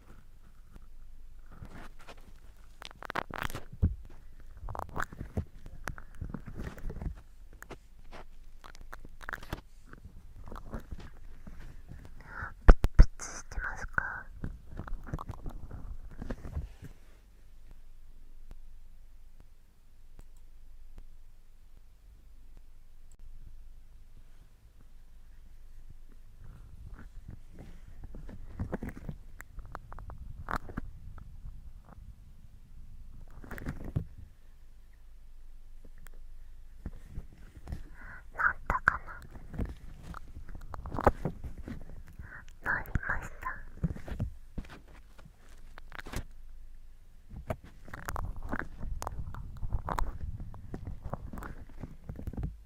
プツしてますかったかななりました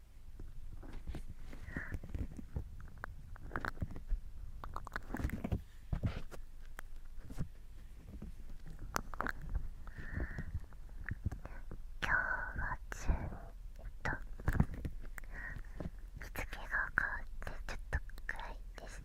今日はえっと日付が変わってちょっと暗いですね。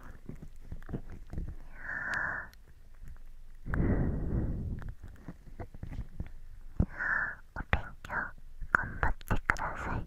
強頑張ってください。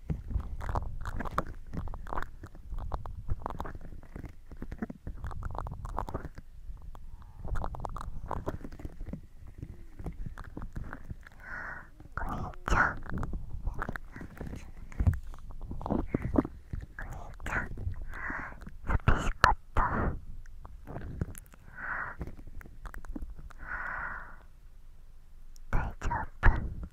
ちゃんお兄ちゃん寂しかった大丈夫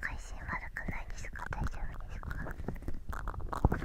配信悪くないですか大丈夫ですか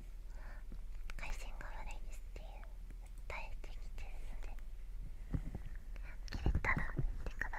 回線が悪いですっていう訴えてきてるので切れたら言ってください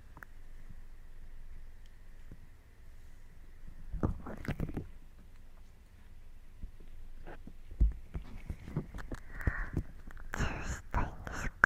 ーしたいんですかチューしたいんですか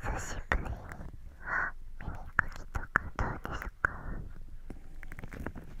久しぶりに耳かきとかどうですか耳かき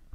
これと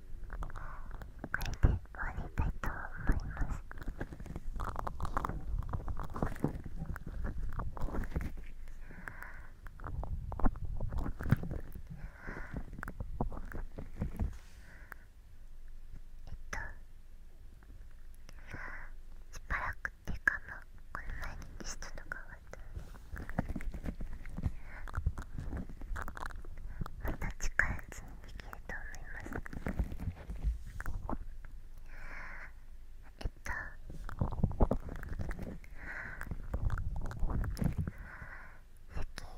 これで終わりたいと思います。えっとしばらくっていうかもうこの前にリストの変わったのでまた近いうにできると思いますえっとス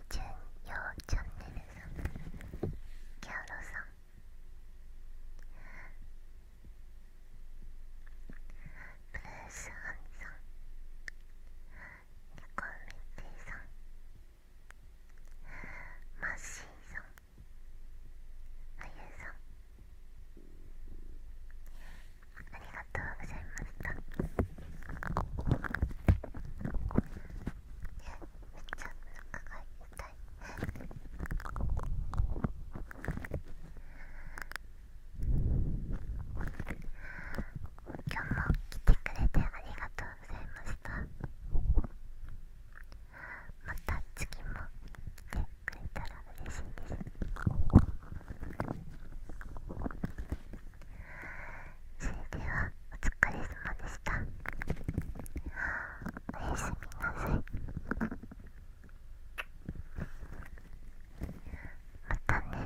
キー純陽チャンネルさんキャロさんブルースハンさんコミッティさんマッシーさんあゆさんありがとうございましたえめっちゃお腹が痛いあ今日も来てくれてありがとうございましたまた次も来てくれたら嬉しいですそれではお疲れ様でしたおやすみなさいまたね